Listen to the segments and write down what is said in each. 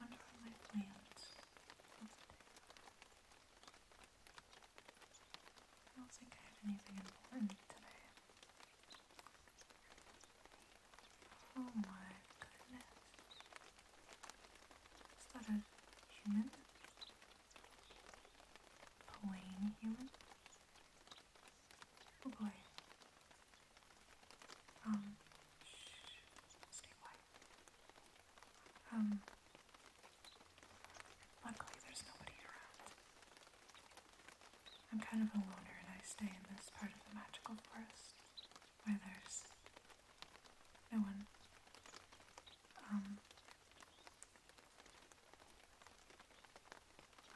I my plans look anything important today. Oh my goodness. Is that a human? A human? Oh boy. Um, um, luckily there's nobody around. I'm kind of a loner and I stay in this part of the magical forest where there's no one. Um,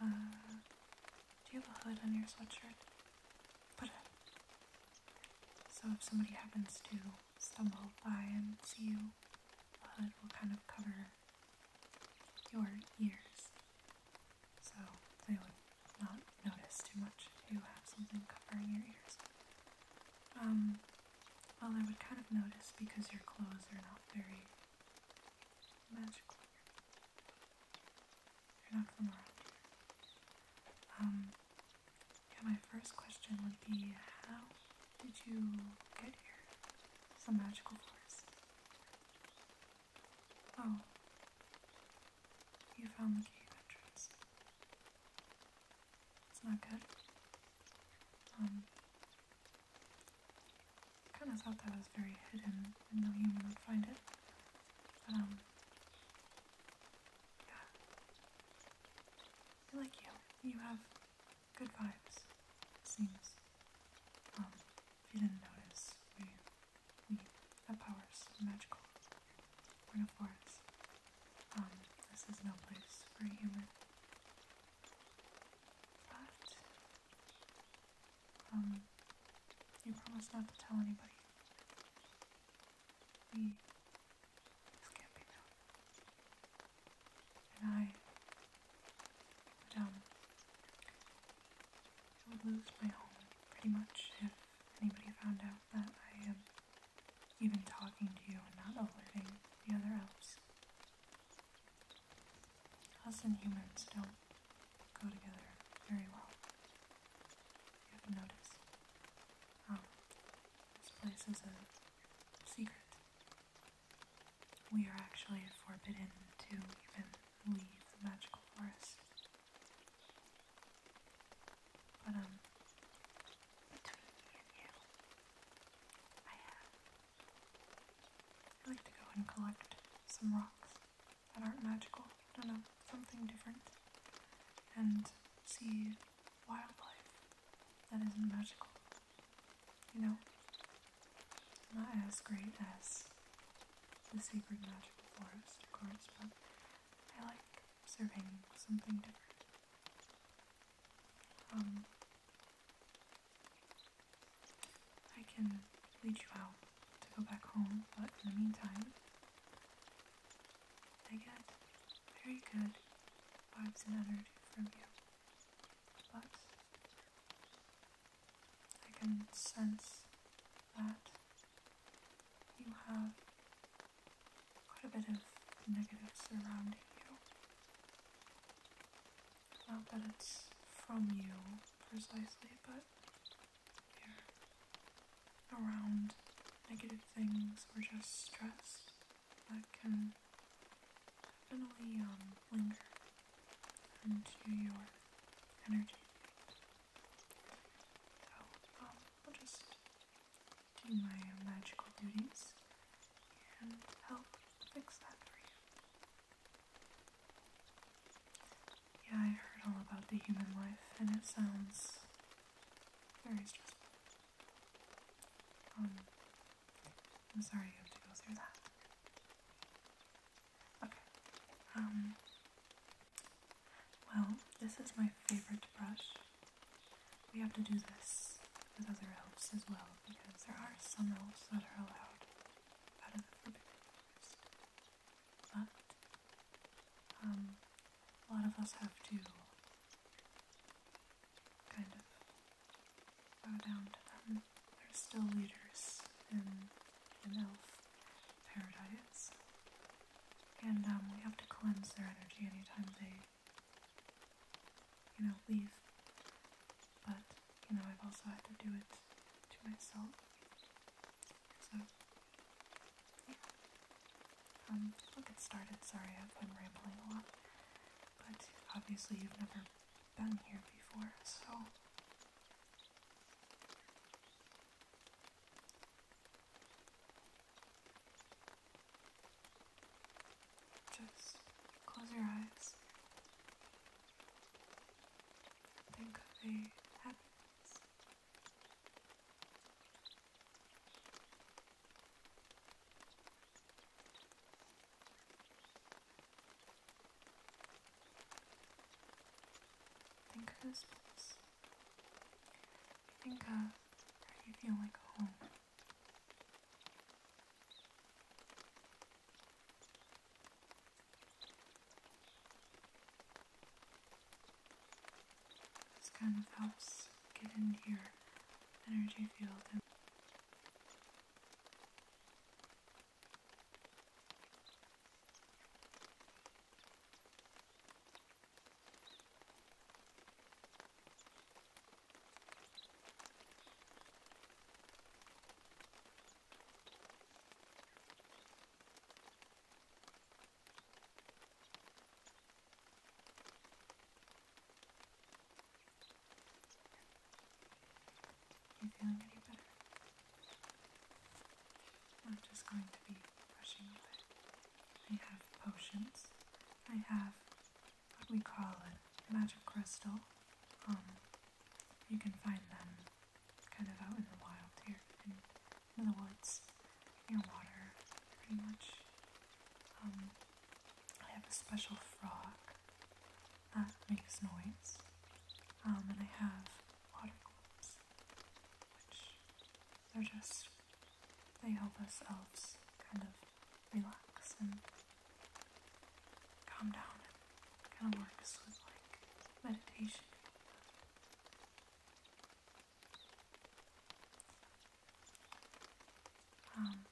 uh, do you have a hood on your sweatshirt? so if somebody happens to stumble by and see you, well, uh, it will kind of cover your ears, so they would not notice too much if you have something covering your ears. Um, well, they would kind of notice because your clothes are not very magical you um, yeah, my first question would be how did you get here? Some magical force. Oh. You found the cave entrance. That's not good. I um, kind of thought that was very hidden and no human would find it. Um, yeah. I like you. You have good vibes, seems. Um, if you didn't notice, we, we have powers, magical. We're Um, this is no place for a But um, you promise not to tell anybody. This can't be done. And um, I would, lose my home pretty much if anybody found out that I am even talking to you and not alerting the other elves. Us and humans don't go together very well. You have noticed. Oh, this place is a secret. We are actually forbidden to even leave the magical forest. But, um, between me and you, I have. i like to go and collect some rocks that aren't magical. I don't know, something different. And see wildlife that isn't magical. You know? Not as great as the sacred magical forest, of course, but I like serving something different. Um, I can lead you out to go back home, but in the meantime, I get very good vibes and energy from you. But I can sense that you have quite a bit of negative surrounding you. Not that it's from you precisely, but around negative things or just stress that can definitely um, linger into your energy. So, um, I'll just do my magical duties and help fix that for you. Yeah, I heard all about the human life, and it sounds very stressful. Um, I'm sorry you have to go through that. Okay. Um, well, this is my favorite brush. We have to do this with other elves as well because there are some elves that are allowed out of the forbidden forest. But Um, a lot of us have to kind of bow down to them. They're still leaders in an elf paradise. And um, we have to cleanse their energy anytime they, you know, leave. But, you know, I've also had to do it to myself. Yeah. Um, we'll get started. Sorry, I've been rambling a lot. But obviously you've never been here before, so... Just close your eyes. Think of a happy Think of this you feel like home. This kind of helps get into your energy field you feeling any better? I'm just going to be brushing a bit. I have potions. I have what we call a magic crystal. Um, you can find them kind of out in the wild here, in, the woods, near water, pretty much. Um, I have a special frog that makes noise, um, and I have water globes, which they're just, they help us elves kind of relax and calm down. It kind of works with like meditation. Um,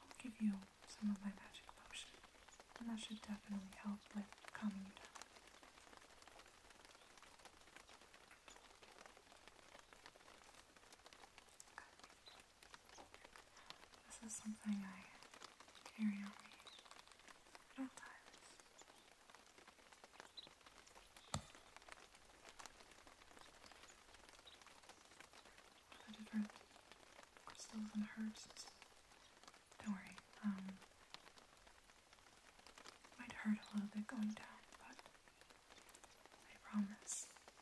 I'll give you some of my magic potion, and that should definitely help with calming you down. This is something I carry on me at all times the different crystals Don't worry, um, might hurt a little bit going down, but I promise the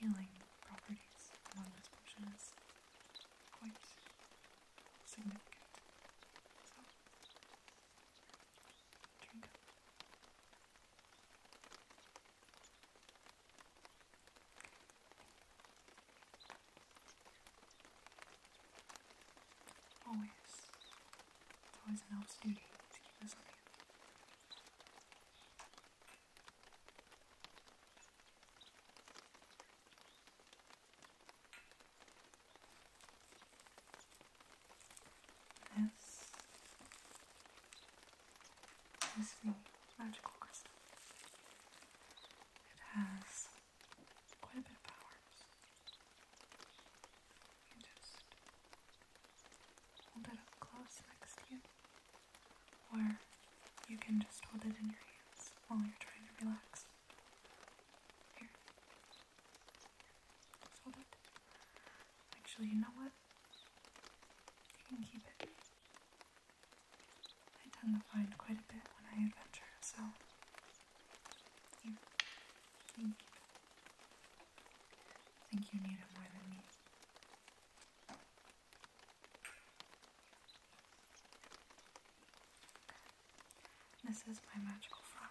healing properties of this potion is quite significant. So, Always. always an elf's duty to keep us on this is the magical crystal. It has quite a bit of power. You can just hold it up close next to you, or you can just hold it in your hands while you're trying to relax. Here. Fold it. Actually, you know what? You can keep it. I tend to find quite a bit when I adventure, so I think you need it more than me. This is my magical frog.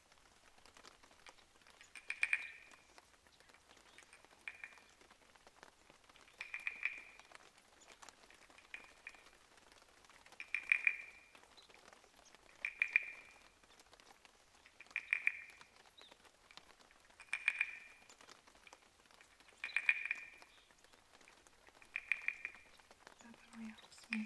Definitely helps me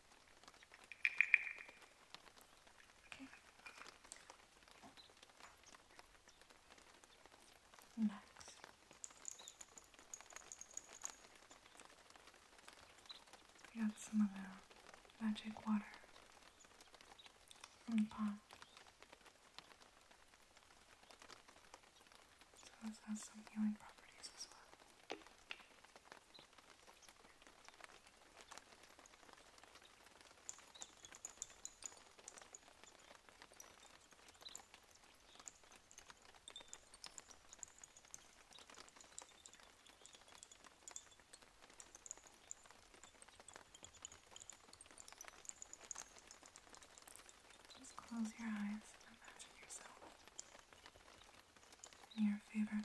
Next. We got some of the magic water from the pond. So this has some healing properties as well. Just close your eyes and imagine yourself in your favorite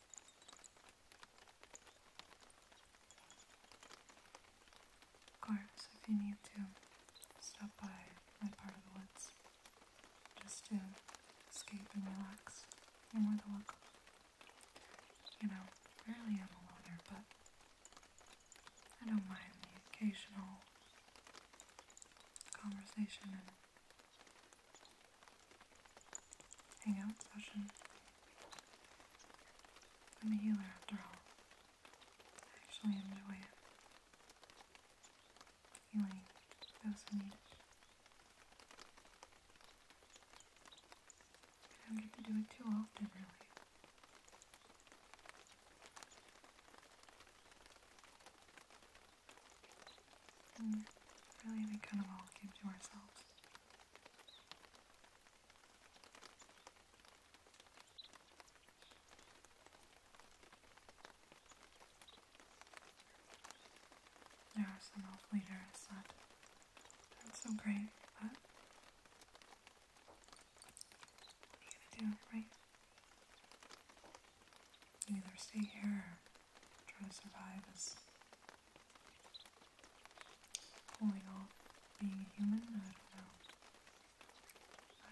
Of course, if you need to stop by my part of the woods just to escape and relax, you're more than welcome. You know, rarely am a loner, but I don't mind the occasional conversation and hangout session. I'm a healer after all. I actually enjoy it. Healing those who need it. I don't get it too often, really. Mm, really, we kind of all keep to ourselves. There is are some lovely areas that aren't so great, but what are you do, right? Either stay here try to survive as Pulling oh off being human?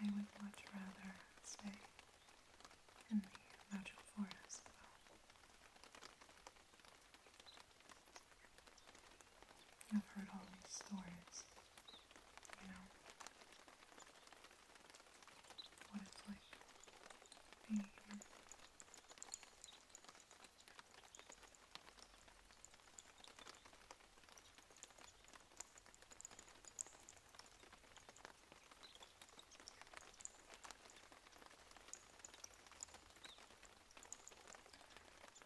I would much rather stay in the magical forest though. have heard all these stories, you know, what it's like being human.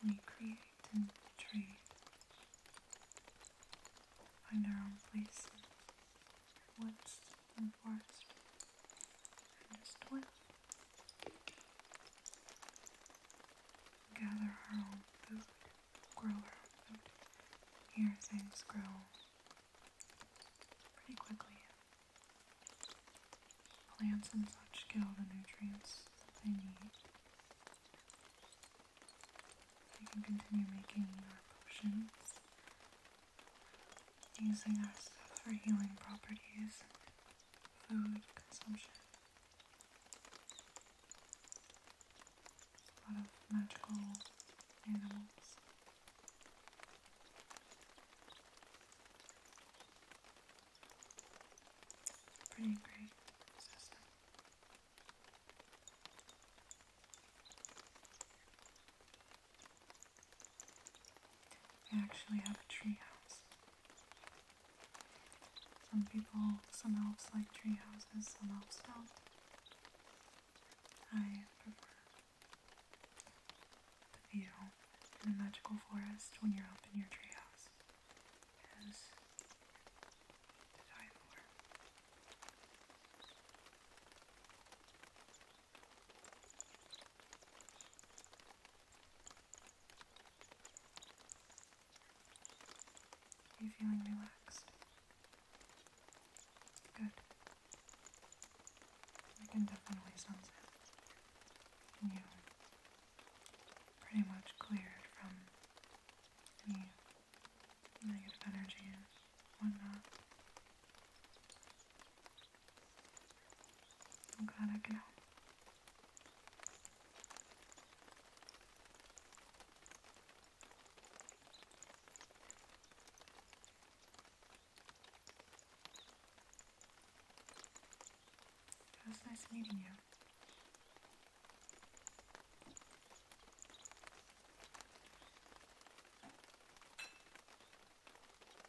We create and trade, find our own place in the and forest and his toil. Gather our own food, grow Here things grow pretty quickly. Plants and such get all the nutrients they need. We can continue making our potions using our stuff for healing properties food consumption. A lot of magical animals. Pretty great they actually have a tree house. Some people, some elves like tree some elves don't. I prefer the view in the magical forest when you're up in your tree you feeling relaxed? Good. I can definitely sense it. you pretty much cleared from any negative energy and whatnot. I'm oh glad I could help. It was nice meeting you.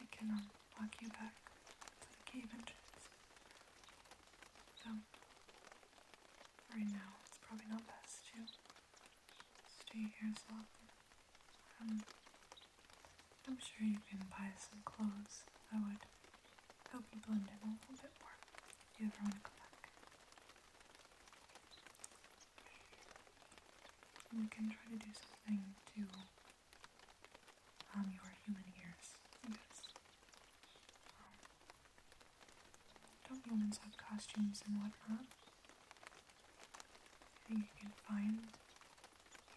I can walk you back to the cave entrance. So right now it's probably not best to stay here as long. Um, I'm sure you can buy some clothes that would help you blend in a little bit more if you ever want to come back. We can try to do something to um, your human ears. Because um, don't humans have costumes and whatnot? I think you can find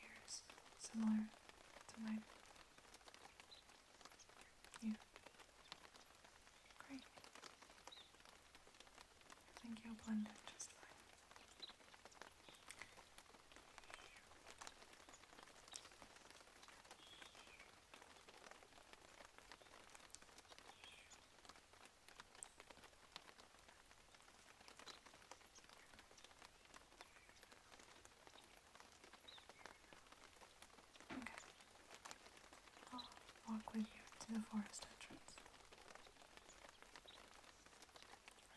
ears similar to my Yeah. Great. I think you'll blend it just fine. Okay. I'll walk with you to the forest entrance.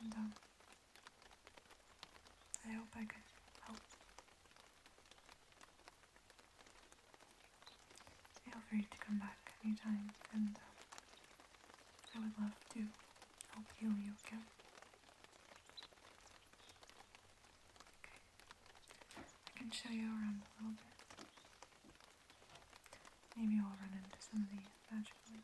And um, I hope I can help. Feel free to come back anytime, and uh, I would love to help heal you again. Okay, I can show you around a little bit. Maybe I'll run into some of the magical.